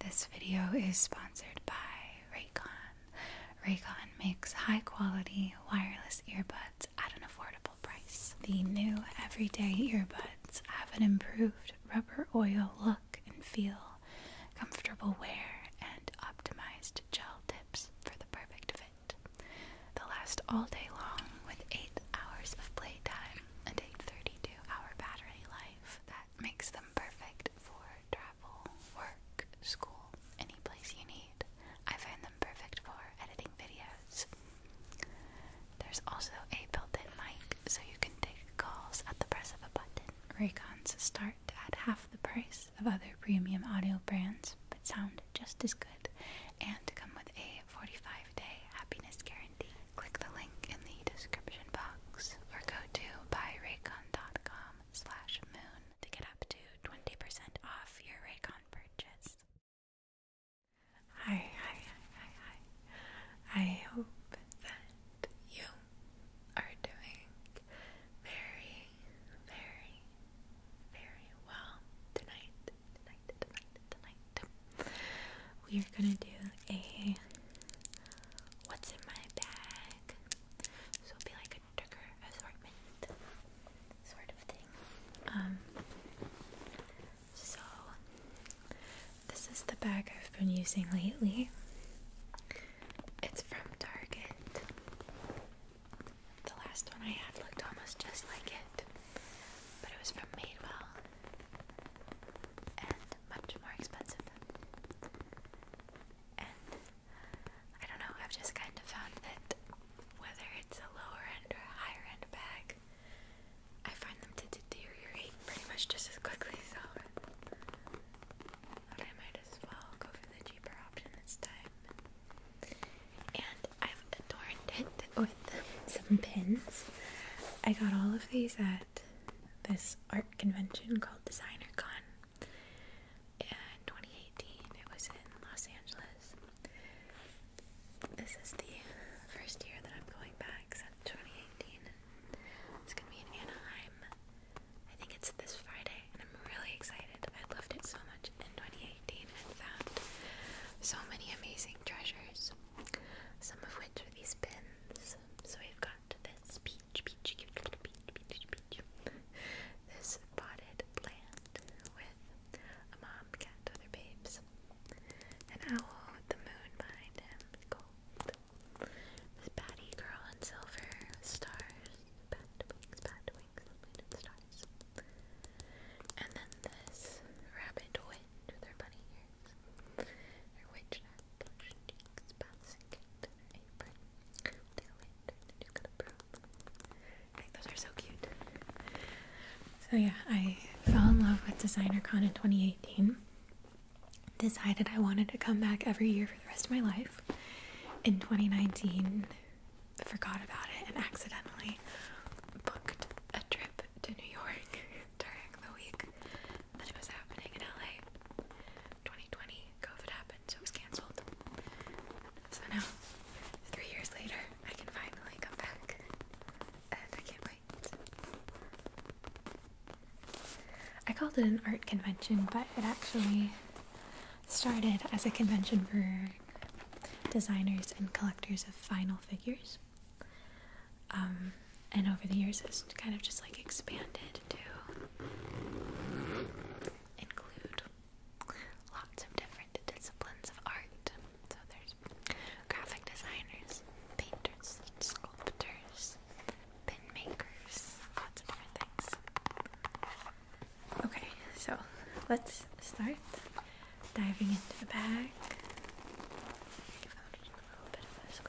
This video is sponsored by Raycon. Raycon makes high quality wireless earbuds at an affordable price. The new everyday earbuds have an improved rubber oil look and feel, comfortable wear, and optimized gel tips for the perfect fit. they last all day long with 8 hours of playtime and a 32 hour battery life makes them perfect for travel, work, school, any place you need. I find them perfect for editing videos. There's also a built-in mic, so you can take calls at the press of a button. Raycons start at half the price of other premium audio brands, but sound just as good and come with a 45-day happiness guarantee. Click the link in the description box or go to buyraycon.com slash moon to get up to 20% off your Raycon purchase. Hi, hi, hi, hi, hi. I hope that you are doing very, very, very well tonight, tonight, tonight, tonight. We are going to do a what's in my bag. So it'll be like a trigger assortment sort of thing. Um, so this is the bag I've been using lately. It's from Target. The last one I had looked almost just like it, but it was from Madewell and much more expensive. And I don't know, I've just kind of found that whether it's a lower end or a higher end bag, I find them to deteriorate pretty much just as quickly, so I might as well go for the cheaper option this time. And I've adorned it with some pins. I got all of these at this art convention called Designer Con in 2018. It was in Los Angeles. This is the first year that I'm going back since 2018. It's gonna be in Anaheim. I think it's this Friday, and I'm really excited. I loved it so much in 2018 and found so many amazing treasures, some of which are these pins. So we've got got this peach, peach, cute little peach, peach, peach. This potted plant with a mom cat, other babes, an owl with the moon behind him, gold. This batty girl in silver with stars, bat wings, bat wings, little bit stars. And then this rabbit witch with her bunny ears, or witch those are so cute. So yeah, I fell in love with Designer Con in 2018. Decided I wanted to come back every year for the rest of my life. In 2019, forgot about it and accidentally booked a trip to New York during the week that it was happening in LA. 2020, COVID happened, so it was canceled. So now, three years later, I can finally come back, and I can't wait. I called it an art convention, but it actually started as a convention for designers and collectors of final figures. Um, and over the years, it's kind of just like expanded to include lots of different disciplines of art. So there's graphic designers, painters, sculptors, pin makers, lots of different things. Okay, so let's start diving into the bag. I found a little bit of a squish.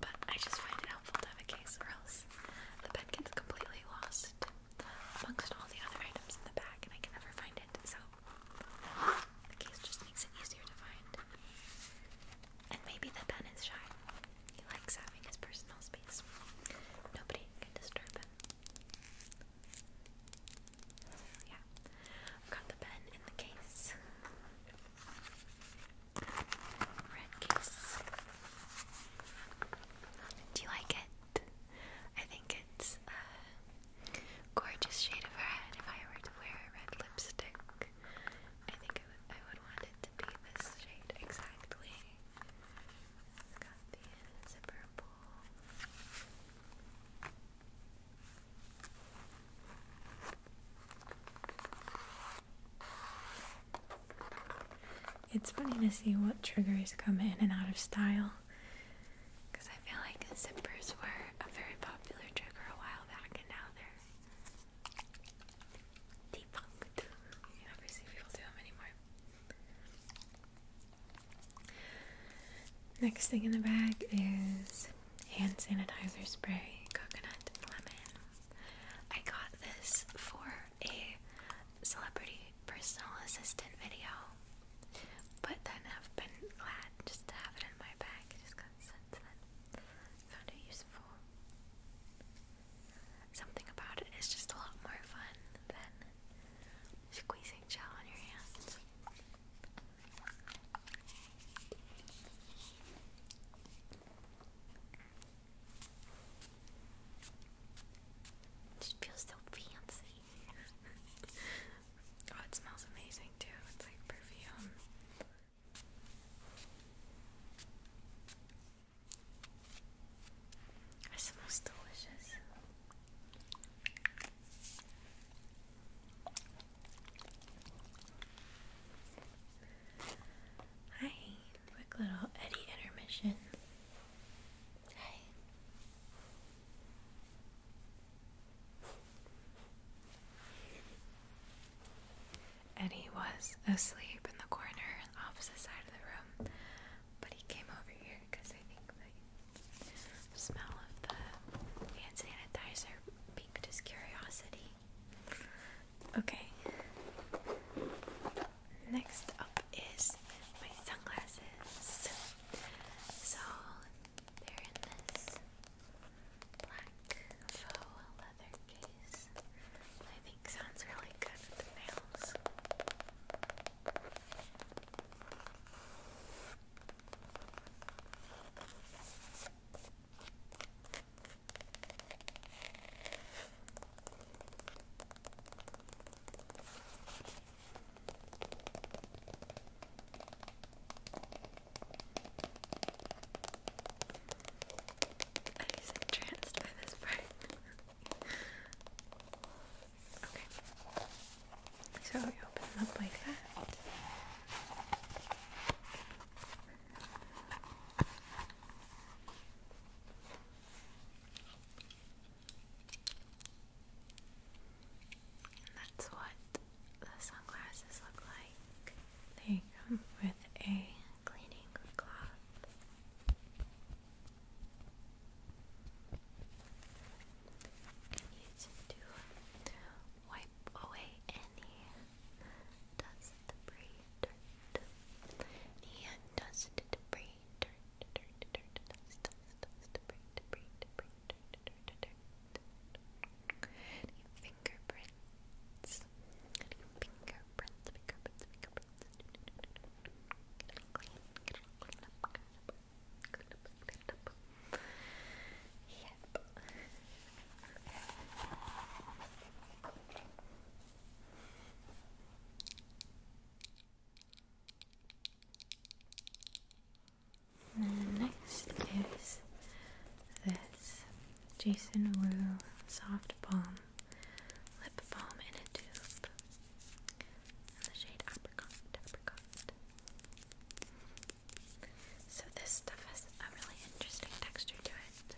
but I just find it helpful to have a case, or else the pen gets completely lost amongst all the other items in the bag, and I can never find it. So the case just makes it easier to find. And maybe the pen is shy. He likes having his personal space. Nobody can disturb him. yeah, I've got the pen in the case. Red Kiss. Um, do you like it? I think it's gorgeous shade of red. If I were to wear a red lipstick, I think I would, want it to be this shade exactly. It's got the zipper it's funny to see what triggers come in and out of style because I feel like zippers were a very popular trigger a while back and now they're debunked. You never see people do them anymore. Next thing in the bag is hand sanitizer spray, coconut lemon. I got this for a celebrity personal assistant video, but then have been glad just to have it in my bag just got since then. Found it useful. Something about it is just a lot more fun than squeezing gel on your hands. It feels so fancy. oh, it smells amazing too. It's like perfume. It smells delicious. Hi. Quick little Eddie intermission. Eddie was asleep in the corner opposite side of the room, but he came over here because I think the smell of the hand sanitizer piqued his curiosity. Okay. Next up is my sunglasses. So they're in this black faux leather case. I think sounds really good with the nails. I was entranced by this part. okay. So we open them up like that. And that's what the sunglasses look like. They come with a cleaning cloth. You can use to wipe away any Dust, debris, dirt. dust, debris, dust, dust, fingerprints? fingerprints? Fingerprints, clean, get clean up, clean up, clean clean up. Yep. And next is this Jason Wu Soft Balm Lip Balm in a Tube in the shade Apricot. Apricot. So, this stuff has a really interesting texture to it.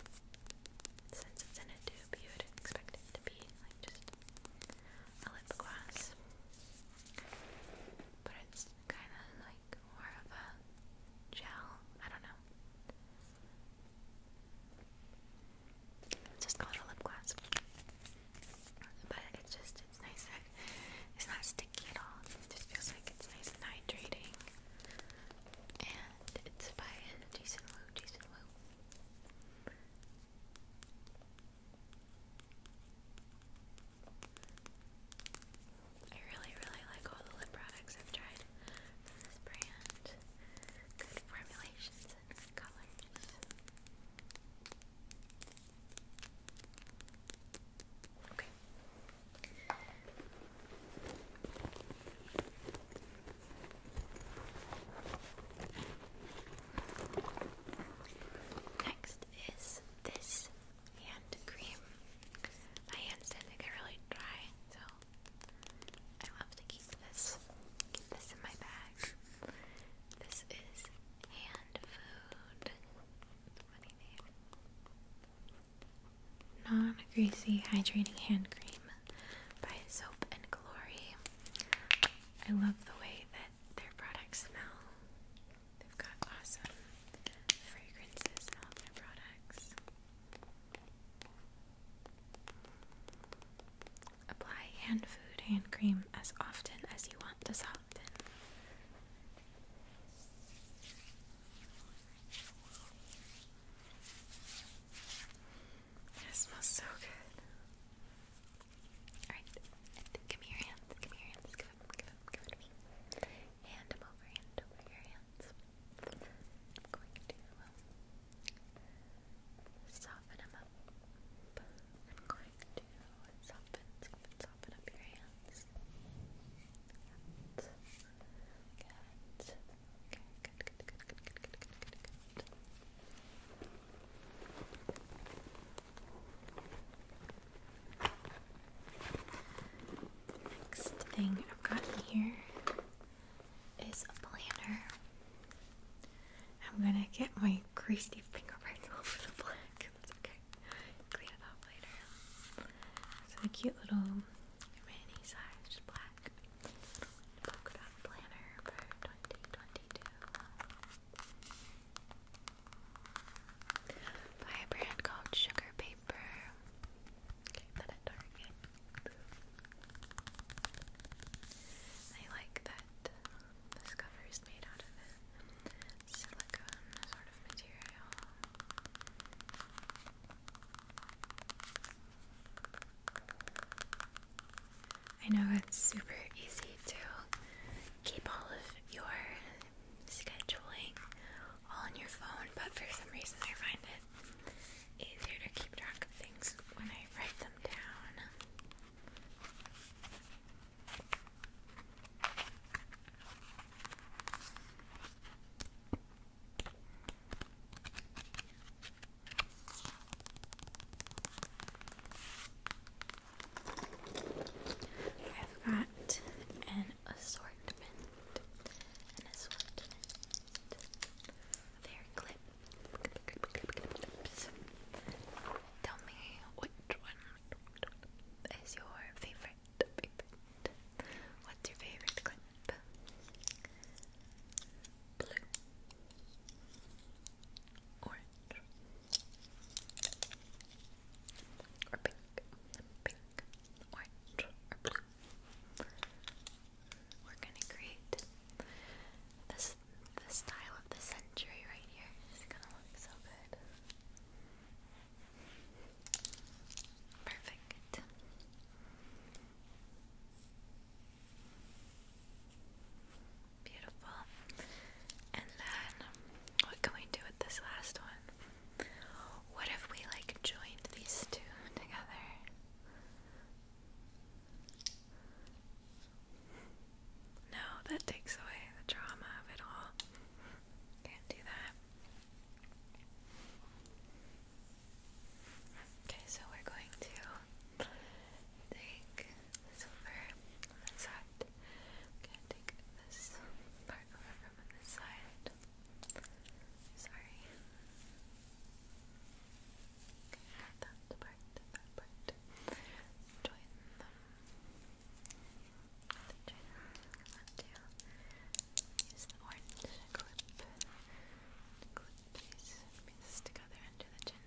Since it's in a tube, you would expect it to be like just a lip gloss. But it's kind of like more of a gel. I don't know. Let's just call it a lip gloss. But it's just, it's nice. Like, it's not sticky at all. It just feels like it's nice and hydrating. And it's by Jason Wu, Jason Wu. I really, really like all the lip products I've tried from this brand. Good formulations and colors. Okay. Next is this hand cream. My hands tend to get really dry, so I love to keep this. this in my bag. This is hand food. Funny name non-greasy hydrating hand cream by Soap and Glory. I love the way that their products smell. They've got awesome fragrances in their products. Apply hand food hand cream as often as you want to soften. It smells so good. Alright, give me your hands, give me your hands, give them, give them, give them to me. Hand them over, hand over your hands. I'm going to um, soften them up. I'm going to soften, soften, soften up your hands. Next thing I've got here is a planner. I'm gonna get my greasy fingerprints all over the black. okay. Clean it up later. It's a cute little mini-sized black back. Polka planner for 2022. a brand called Sugar Paper. Okay, like that this cover is made out of a silicone sort of material. I know it's super easy to keep all of your scheduling all on your phone, but for some reason I find it easier to keep track of things when I write them down. I've got an assortment, Tell me which one is your favorite. What's your favorite clip? blue, orange, or pink, pink, orange, or blue. We're gonna create this the style of the century right here. It's gonna look so good. Perfect. Beautiful. And then, what can we do with this last one? What if we like joined these two together? No, that takes away the drama of it all. Can't do that. Okay, so we're going to take this over on this side. I'm going to take this part over from this side. Sorry. that part, that part. Join them. Join them. Use the orange clip. Clip these pieces together under the chin.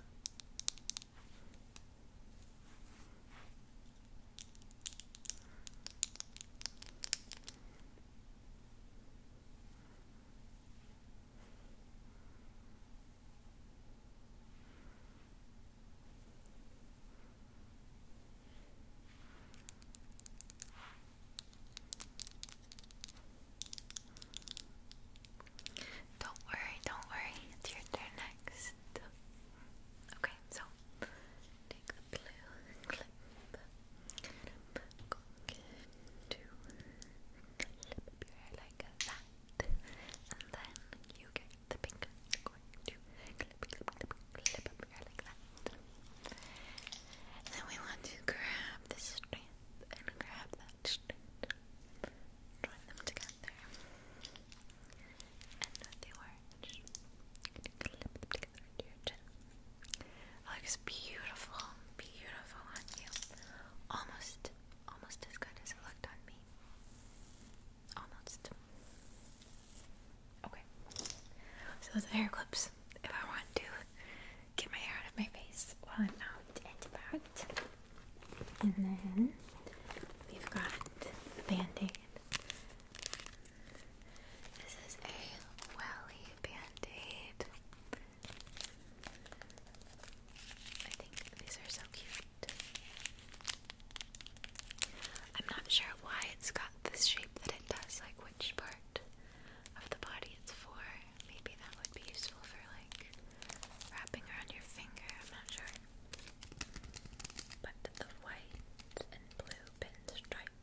Don't worry, don't worry. It's your turn next. Okay, so take the blue clip. I'm going your hair like that. And then you get the pink. going to clip, clip, clip, clip up your hair like that. then we want to grab this string and grab that Join them together. And with the orange, clip them together oh, into your chin. looks beautiful, beautiful on you. Almost, almost as good as it looked on me. Almost. Okay. So those hair clips if I want to get my hair out of my face while I'm out and about. And then we've got the band-aid. This is a welly band-aid. I think these are so cute. I'm not sure why it's got this shape that it does, like which part of the body it's for. Maybe that would be useful for like wrapping around your finger, I'm not sure. But the white and blue pinstripe.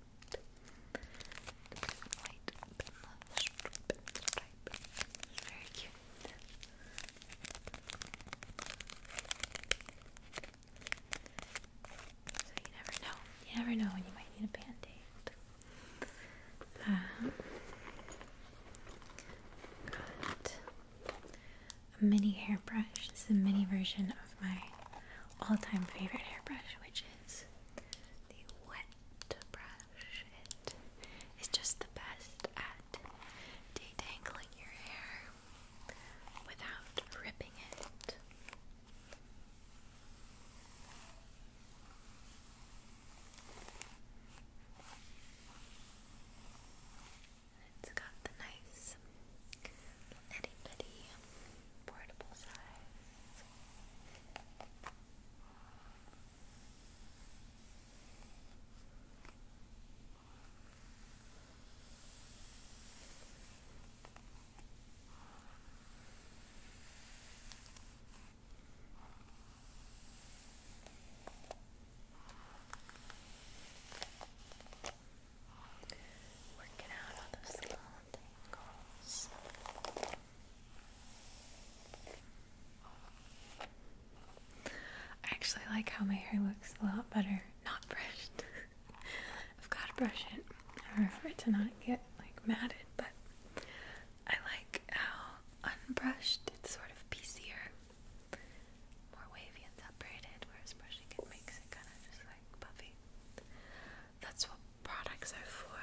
White pinstripe, pinstripe. It's very cute. So you never know. You never know when you might need a band-aid a mini hairbrush. This is a mini version of my all-time favorite hairbrush, which is the wet brush. It is just the best at detangling your hair without ripping it. It's got the nice itty bitty portable size. I actually like how my hair looks a lot better not brushed. I've got to brush it in order for it to not get like matted, but I like how unbrushed it's sort of piecier, more wavy and separated, whereas brushing it makes it kind of just like puffy. That's what products are for,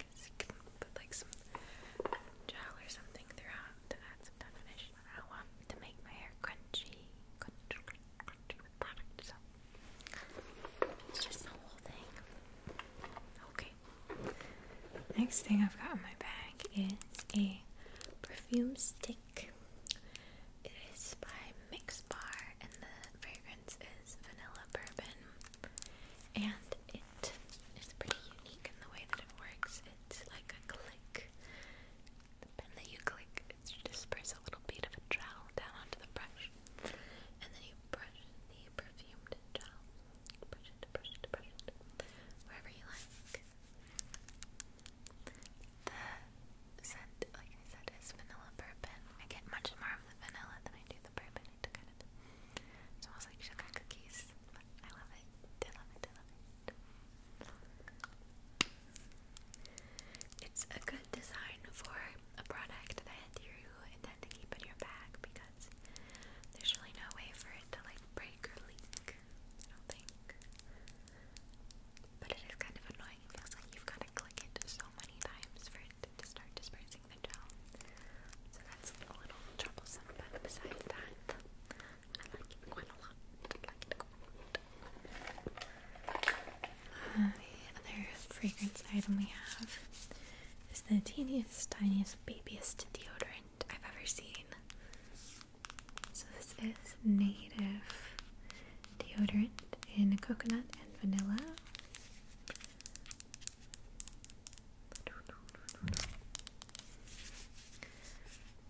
because you can put like some gel or something throughout to add some definition. I to make my hair crunchy, product, so it's just the whole thing. Okay, Next thing I've got in my bag is a perfume stick. It is by Mix Bar, and the fragrance is vanilla bourbon. And it is pretty unique in the way that it works. It's like a click. The pen you click, it just sprays a little bit of a trowel down onto the brush. And then you brush the perfumed gel. Brush it, brush it, brush it. Wherever you like. The scent, like I said, is vanilla bourbon. I get much more of the vanilla than I do the bourbon. It kind like sugar cookies. But I love it. I love it. I love it. It's a good design for a product that you intend to keep in your bag because there's really no way for it to like break or leak, I don't think. But it is kind of annoying. It feels like you've got to click it so many times for it to start dispersing the gel. So that's a little troublesome, but besides that, I like it quite a lot. the other fragrance item we have is the teeniest, tiniest, babyest deodorant I've ever seen. So this is native deodorant in coconut and vanilla.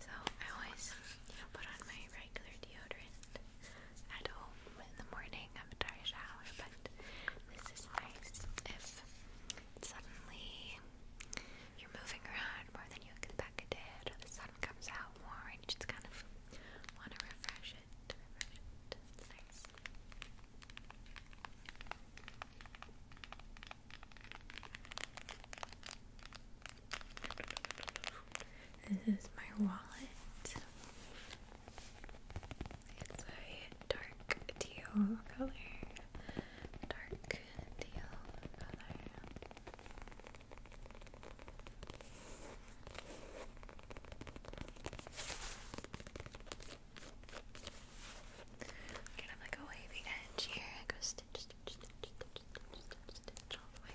So I always, put on my regular deodorant at home in the morning after I shower, but this is nice if suddenly you're moving around more than you expected, the sun comes out more and you just kind of want to refresh it, refresh it. nice. This is my wallet. It's a dark teal color. Dark teal color. I'm like away the edge here. I go stitch, stitch, stitch, stitch, stitch, stitch, all the way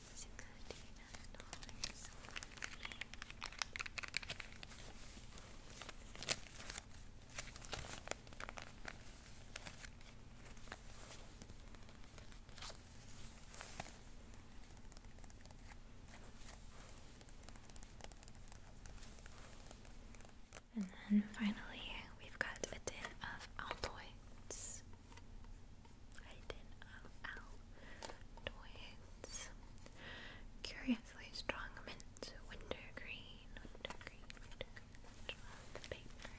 dollars. And then finally, we've got a tin of Altoids. N-O-L Twins Curiously strong mint wintergreen wintergreen wintergreen the paper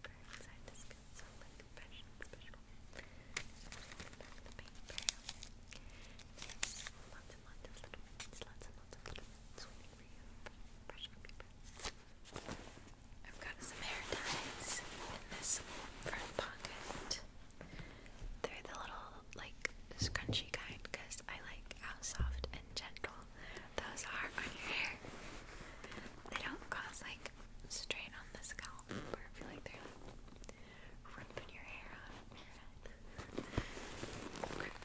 inside this so like fresh and the paper lots and lots of little mints, lots and lots of little mints waiting for you fresh paper I've got some hair ties in this front pocket. They're the little like scrunchy kind because I like how soft and gentle those are on your hair. They don't cause like strain on the scalp or feel like they're ripping your hair out your head.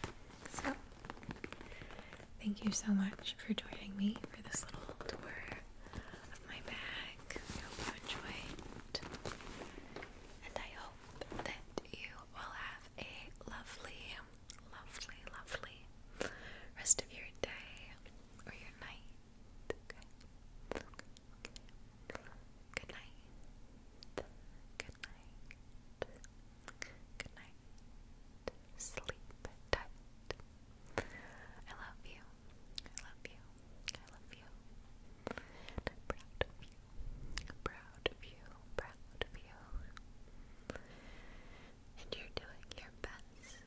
So thank you so much for joining me for this little tour of my bag. I hope And I hope that you will have a lovely, lovely, lovely rest of your day or your night. Good night. Good night. Good night. Sleep tight. I love you. I love you. I love you. I'm proud of you. I'm proud of you. Proud of you. And you're doing your best.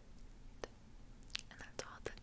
And that's all that matters.